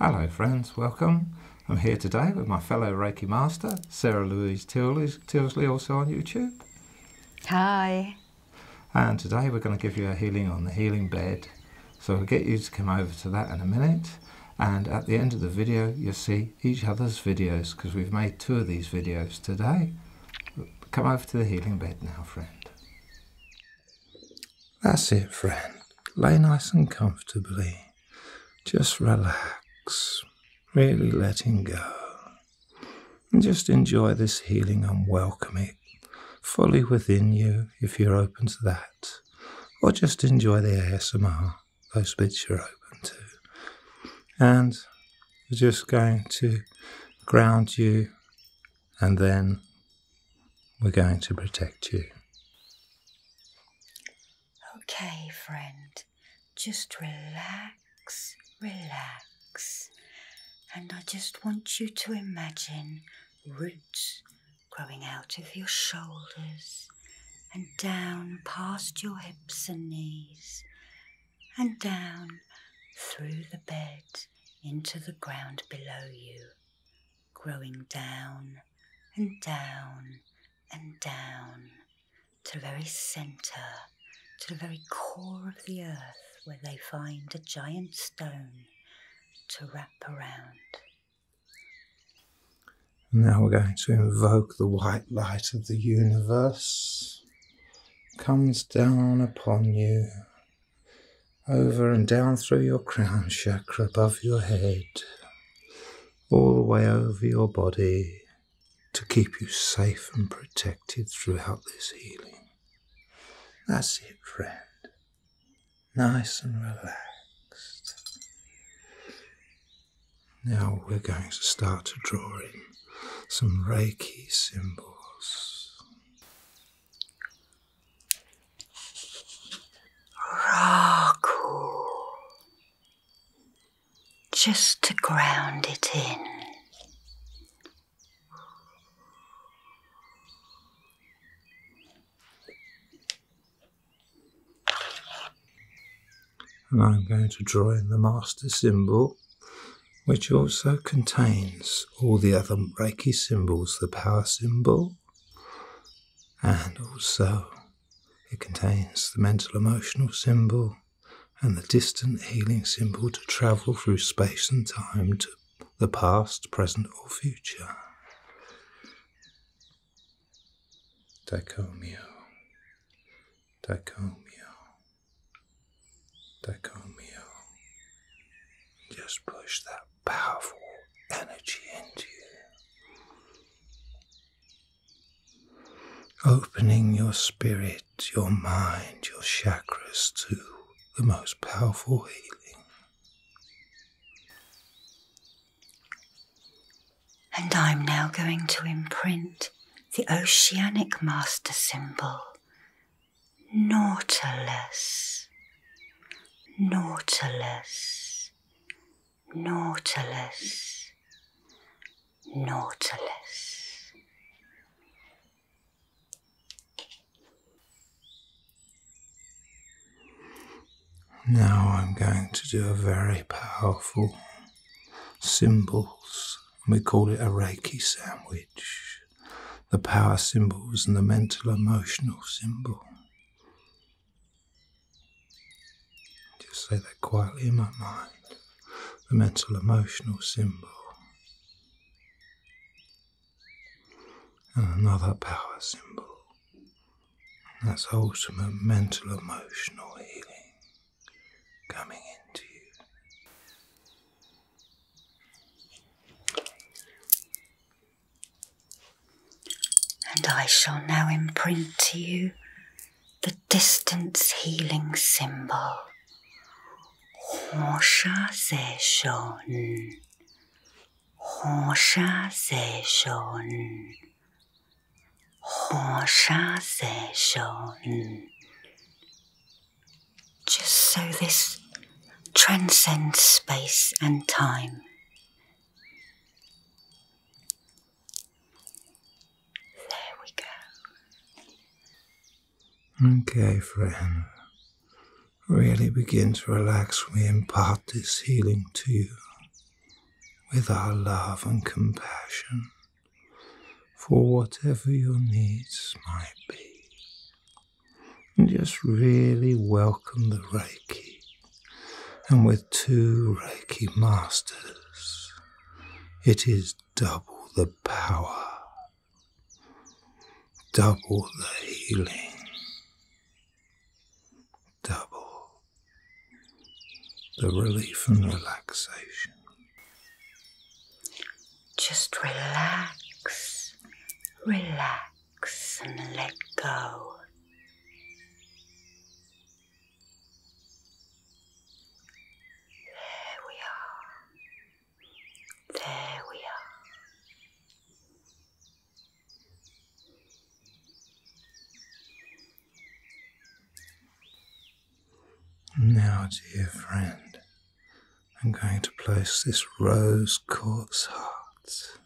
Hello friends, welcome. I'm here today with my fellow Reiki master, Sarah Louise Tilsley, also on YouTube. Hi. And today we're going to give you a healing on the healing bed. So we will get you to come over to that in a minute. And at the end of the video, you'll see each other's videos because we've made two of these videos today. Come over to the healing bed now, friend. That's it, friend. Lay nice and comfortably. Just relax, really letting go. And just enjoy this healing and welcome it fully within you if you're open to that. Or just enjoy the ASMR, those bits you're open to. And we're just going to ground you and then we're going to protect you. Okay, friend, just relax, relax. And I just want you to imagine roots growing out of your shoulders and down past your hips and knees and down through the bed into the ground below you growing down and down and down to the very centre, to the very core of the earth, where they find a giant stone to wrap around. Now we're going to invoke the white light of the universe. Comes down upon you over and down through your crown chakra above your head, all the way over your body to keep you safe and protected throughout this healing. That's it, friend. Nice and relaxed. Now we're going to start to draw in some Reiki symbols. Raku. Just to ground it in. And I'm going to draw in the master symbol, which also contains all the other Reiki symbols the power symbol, and also it contains the mental emotional symbol and the distant healing symbol to travel through space and time to the past, present, or future. Dicomio, dicomio, dicomio. Just push that powerful energy into you. Opening your spirit, your mind, your chakras to the most powerful healing. And I'm now going to imprint the oceanic master symbol Nautilus, Nautilus, Nautilus, Nautilus. Now I'm going to do a very powerful symbols. We call it a Reiki sandwich the power symbols and the mental emotional symbol. Just say that quietly in my mind the mental emotional symbol. And another power symbol. And that's ultimate mental emotional healing coming into you. And I shall now imprint to you the distance healing symbol. Hosha Zeshon. Hosha Zeshon. Hosha Zeshon. Just so this transcends space and time. There we go. Okay, friend. Really begin to relax. We impart this healing to you with our love and compassion for whatever your needs might be. And just really welcome the Reiki. And with two Reiki masters, it is double the power, double the healing, double the relief and relaxation. Just relax, relax and let go. There we are. There we are. Now, dear friend, I'm going to place this rose quartz heart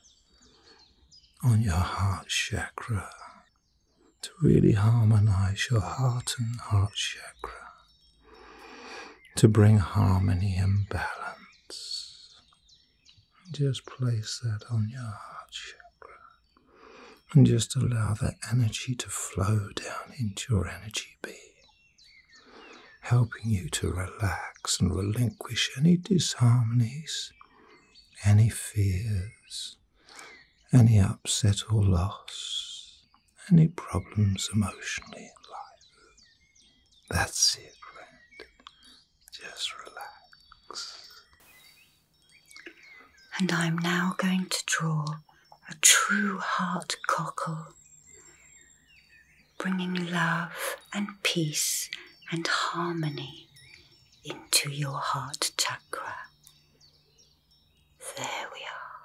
on your heart chakra to really harmonize your heart and heart chakra, to bring harmony and balance. Just place that on your heart chakra and just allow that energy to flow down into your energy being helping you to relax and relinquish any disharmonies, any fears, any upset or loss, any problems emotionally in life. That's it, Just relax. And I'm now going to draw a true heart cockle bringing love and peace and harmony into your heart chakra. There we are.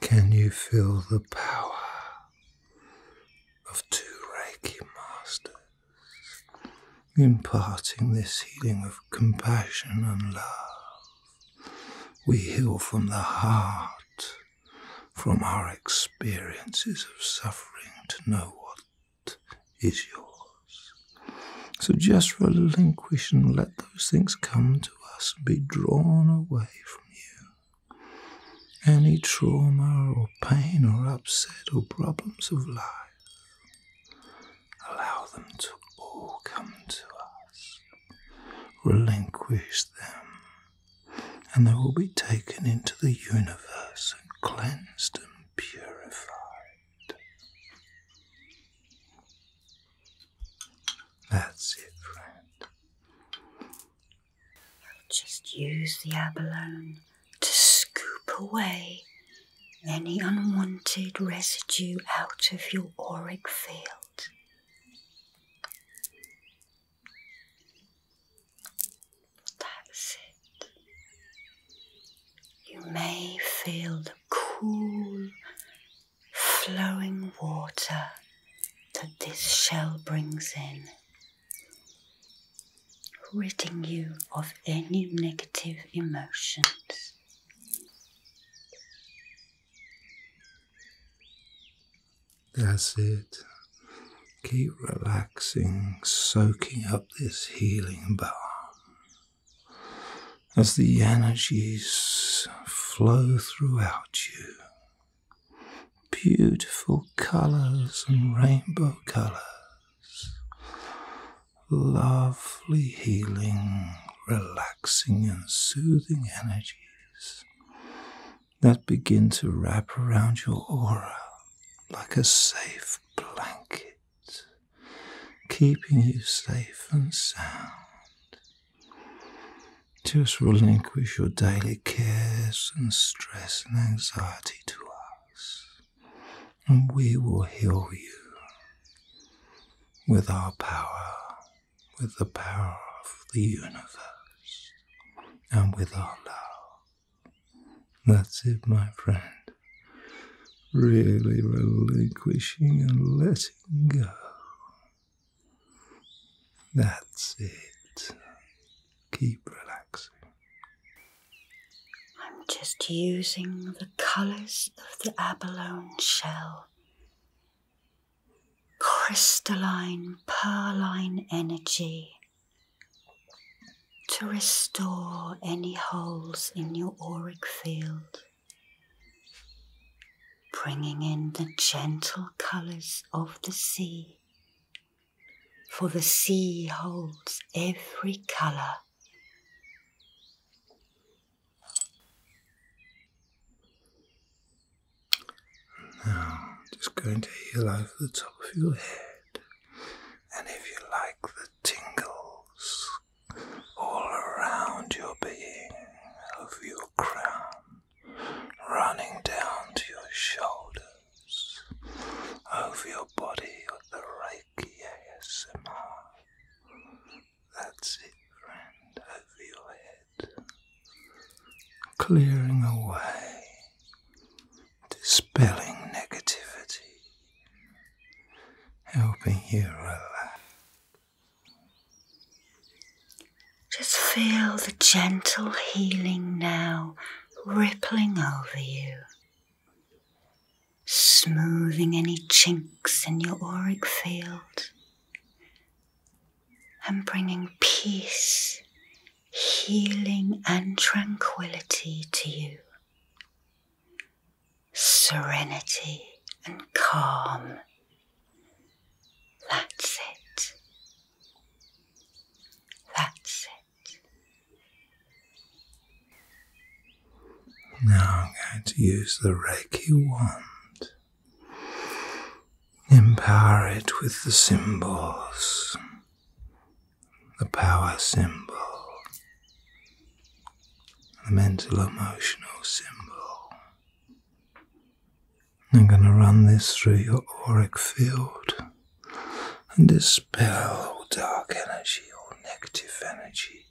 Can you feel the power of two Reiki masters? imparting this healing of compassion and love. We heal from the heart, from our experiences of suffering to know what is yours. So just relinquish and let those things come to us and be drawn away from you. Any trauma or pain or upset or problems of life Allow them to all come to us. Relinquish them, and they will be taken into the universe and cleansed and purified. That's it, friend. just use the abalone to scoop away any unwanted residue out of your auric field. That's it. You may feel the cool, flowing water that this shell brings in, ridding you of any negative emotion. That's it. Keep relaxing, soaking up this healing balm as the energies flow throughout you. Beautiful colors and rainbow colors lovely, healing, relaxing, and soothing energies that begin to wrap around your aura like a safe blanket, keeping you safe and sound. Just relinquish your daily cares and stress and anxiety to us and we will heal you with our power, with the power of the universe, and with our love. That's it, my friend. Really relinquishing and letting go. That's it. Keep relaxing. I'm just using the colours of the abalone shell. Crystalline, pearline energy to restore any holes in your auric field, bringing in the gentle colours of the sea, for the sea holds every colour now, just going to heal over the top of your head, and if you like the tingles all around your being, of your crown, running down to your shoulders, over your body on the right. Becky That's it, friend, over your head, clearing away, dispelling negativity, helping you relax. Just feel the gentle healing now rippling over you smoothing any chinks in your auric field and bringing peace, healing, and tranquility to you. Serenity and calm. That's it. That's it. Now I'm going to use the Reiki wand. Empower it with the symbols, the power symbol, the mental emotional symbol. I'm going to run this through your auric field and dispel all dark energy, all negative energy,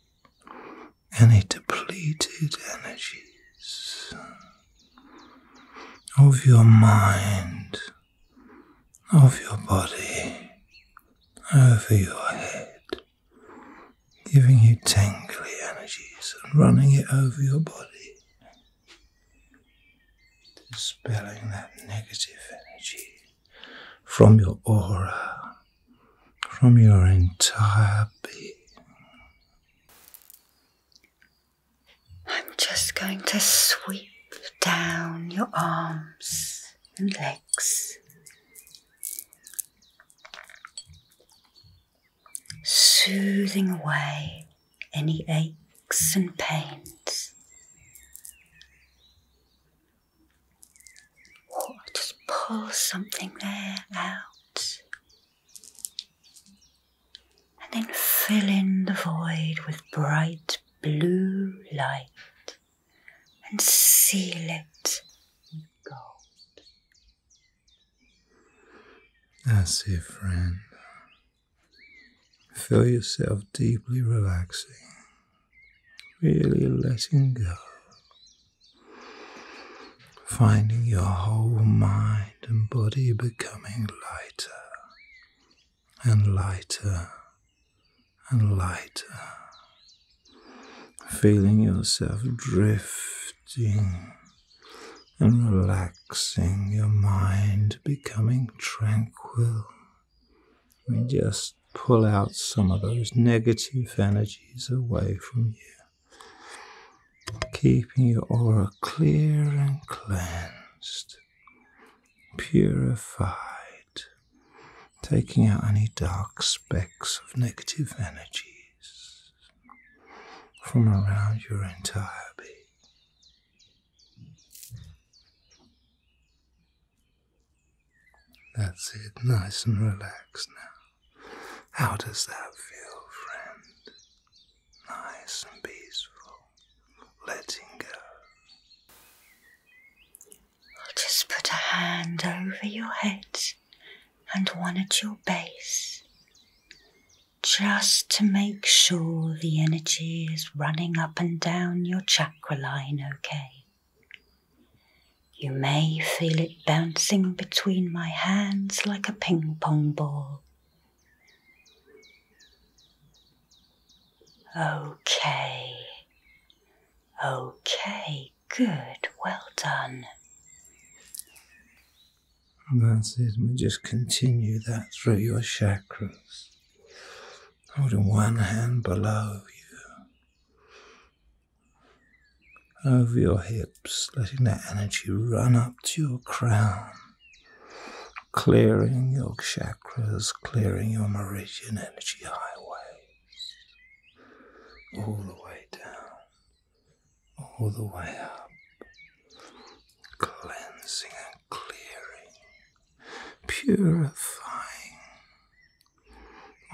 any depleted energies of your mind, of your body, over your head, giving you tingly energies and running it over your body, dispelling that negative energy from your aura, from your entire being. I'm just going to sweep down your arms and legs. Soothing away any aches and pains just pull something there out. And then fill in the void with bright blue light and seal it with gold. That's it, friend. Feel yourself deeply relaxing Really letting go. Finding your whole mind and body becoming lighter and lighter and lighter. Feeling yourself drifting and relaxing, your mind becoming tranquil we just pull out some of those negative energies away from you, keeping your aura clear and cleansed, purified, taking out any dark specks of negative energies from around your entire being. That's it, nice and relaxed now. How does that feel, friend? Nice and peaceful, letting go. I'll just put a hand over your head and one at your base, just to make sure the energy is running up and down your chakras okay. You may feel it bouncing between my hands like a ping pong ball. Okay, okay, good, well done. And that's it, we just continue that through your chakras holding one hand below you, over your hips, letting that energy run up to your crown, clearing your chakras, clearing your meridian energy highways, all the way down, all the way up, cleansing clearing, purifying.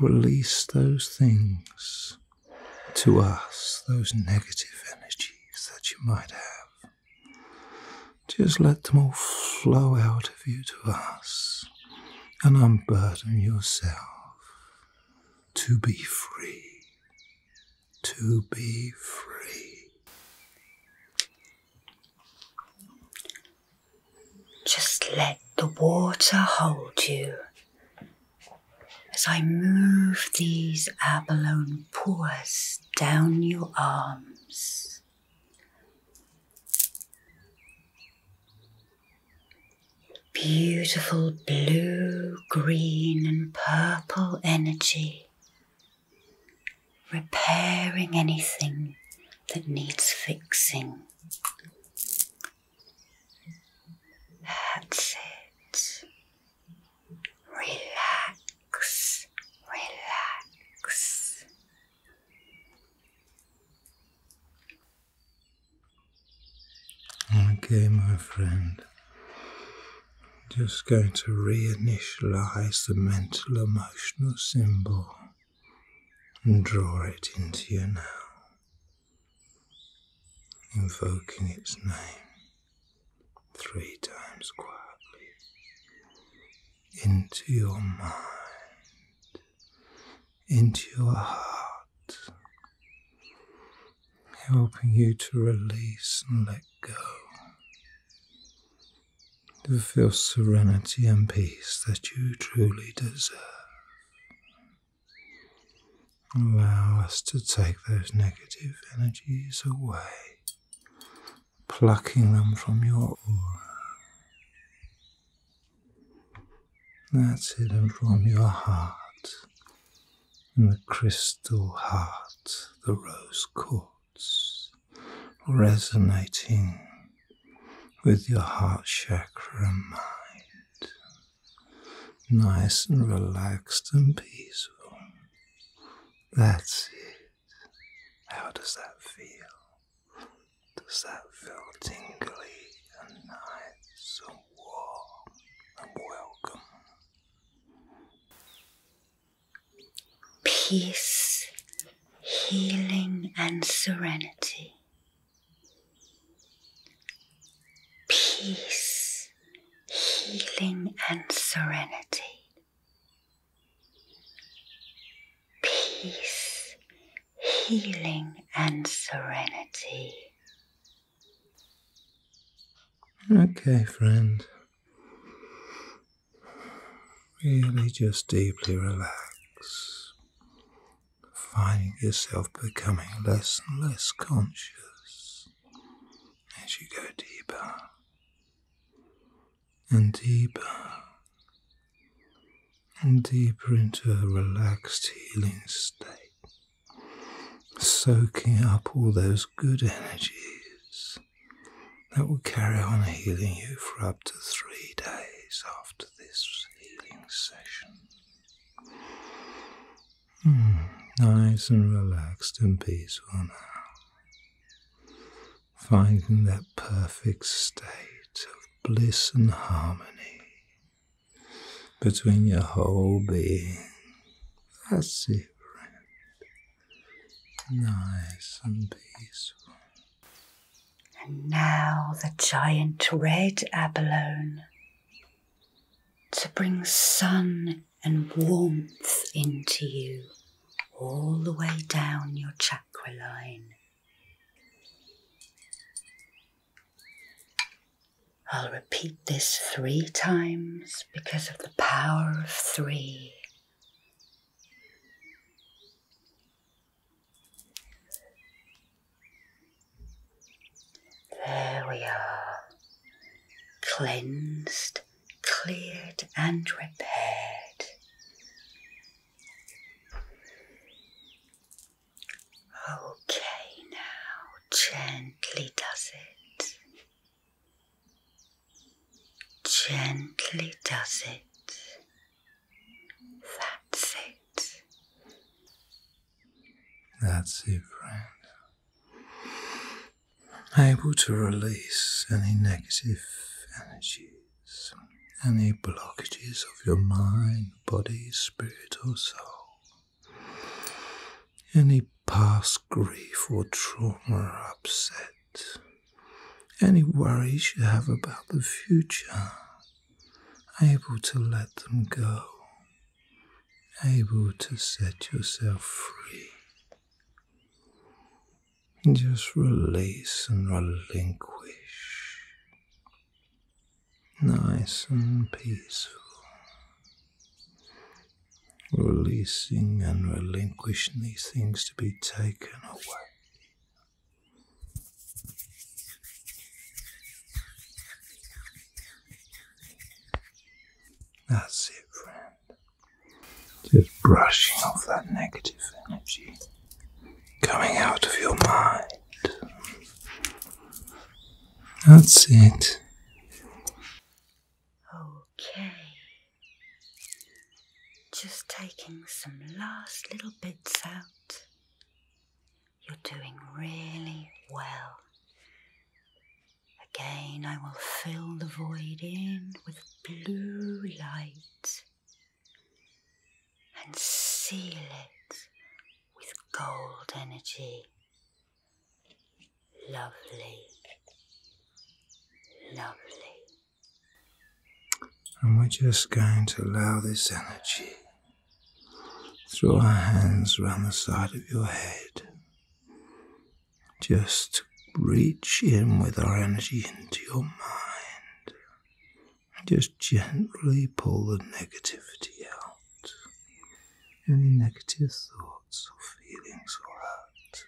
Release those things to us, those negative energies that you might have. Just let them all flow out of you to us and unburden yourself to be free, to be free. Just let the water hold you as I move these abalone pores down your arms. Beautiful blue, green, and purple energy repairing anything that needs fixing. That's it. Relax, relax. Okay, my friend. Just going to re-initialise the mental emotion emotional symbol and draw it into you now, invoking its name three times quietly into your mind, into your heart, helping you to release and let go to feel serenity and peace that you truly deserve. Allow us to take those negative energies away, plucking them from your aura. That's hidden from your heart, in the crystal heart, the rose quartz resonating with your heart chakra mind, nice and relaxed and peaceful. That's it. How does that feel? Does that feel tingly and nice and warm and welcome? peace, healing, and serenity. Peace, healing, and serenity. Peace, healing, and serenity. Okay, friend. Really just deeply relax, finding yourself becoming less and less conscious as you go deeper and deeper and deeper into a relaxed healing state, soaking up all those good energies that will carry on healing you for up to three days after this healing session. Hmm, nice and relaxed and peaceful now. Finding that perfect state of bliss and harmony between your whole being. That's it, Nice and peaceful. And now the giant red abalone to bring sun and warmth into you all the way down your chakra line. I'll repeat this three times because of the power of three there we are, cleansed, cleared, and repaired. Okay, now gently does it. Gently does it. That's it. That's it, friend. Able to release any negative energies, any blockages of your mind, body, spirit, or soul, any past grief or trauma or upset any worries you have about the future, able to let them go, able to set yourself free. Just release and relinquish. Nice and peaceful releasing and relinquishing these things to be taken away. That's it, friend. Just brushing off that negative energy coming out of your mind. That's it. Okay. Just taking some last little bits out. You're doing really well. Again, I will fill the void in with blue light and seal it with gold energy. Lovely. Lovely. And we're just going to allow this energy Throw our hands around the side of your head. Just reach in with our energy into your mind. Just gently pull the negativity out. Any negative thoughts or feelings or hurts.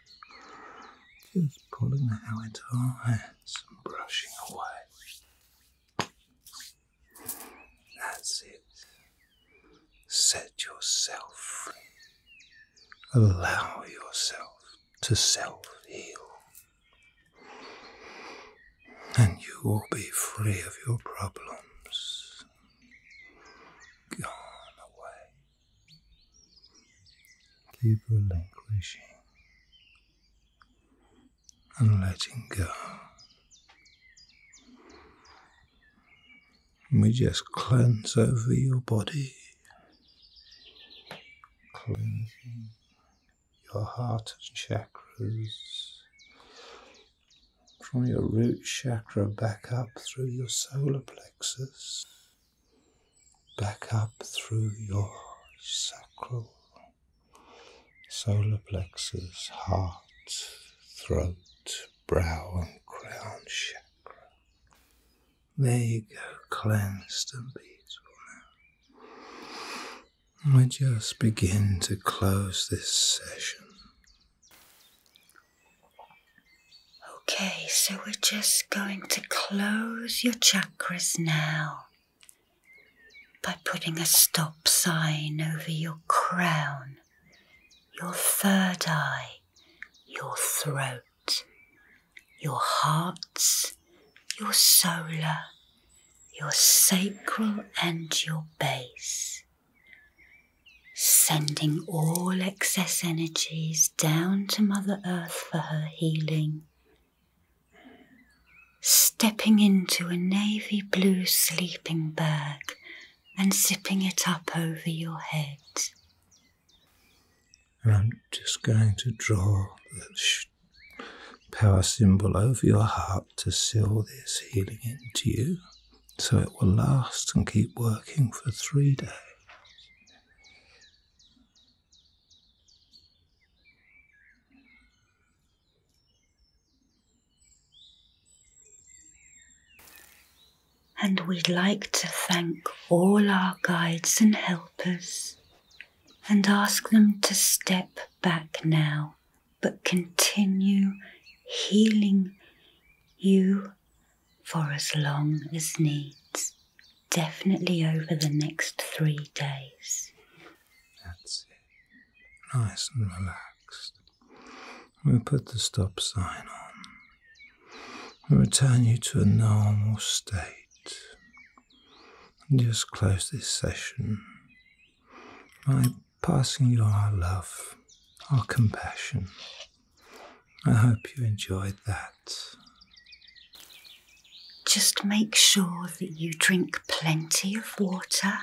Just pulling it out into our hands and brushing away. That's it. Set yourself free. Allow yourself to self heal. And you will be free of your problems. Gone away. Keep relinquishing and letting go. And we just cleanse over your body, cleansing your heart and chakras from your root chakra back up through your solar plexus back up through your sacral, solar plexus, heart, throat, brow, and crown chakra. There you go, cleansed and beautiful now. I just begin to close this session. Okay, so we're just going to close your chakras now by putting a stop sign over your crown, your third eye, your throat, your heart, your solar, your sacral, and your base sending all excess energies down to Mother Earth for her healing. Stepping into a navy blue sleeping bag and zipping it up over your head. And I'm just going to draw the power symbol over your heart to seal this healing into you so it will last and keep working for three days. And we'd like to thank all our guides and helpers and ask them to step back now, but continue healing you for as long as needs, definitely over the next three days. That's it. Nice and relaxed. We put the stop sign on. We return you to a normal state. And just close this session by passing you our love, our compassion, I hope you enjoyed that. Just make sure that you drink plenty of water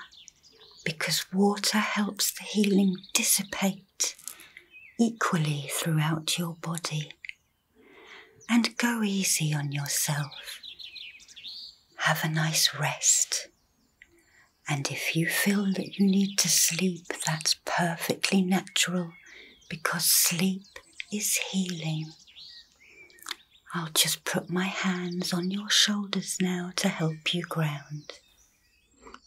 because water helps the healing dissipate equally throughout your body. And go easy on yourself. Have a nice rest. And if you feel that you need to sleep, that's perfectly natural because sleep is healing. I'll just put my hands on your shoulders now to help you ground.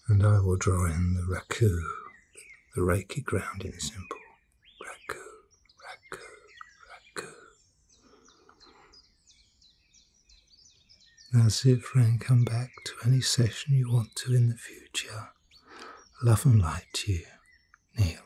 And I will draw in the raku, the Reiki grounding symbol. Raku, raku, raku. Now, Zifra, and come back to any session you want to in the future. Love and light to you, Neil.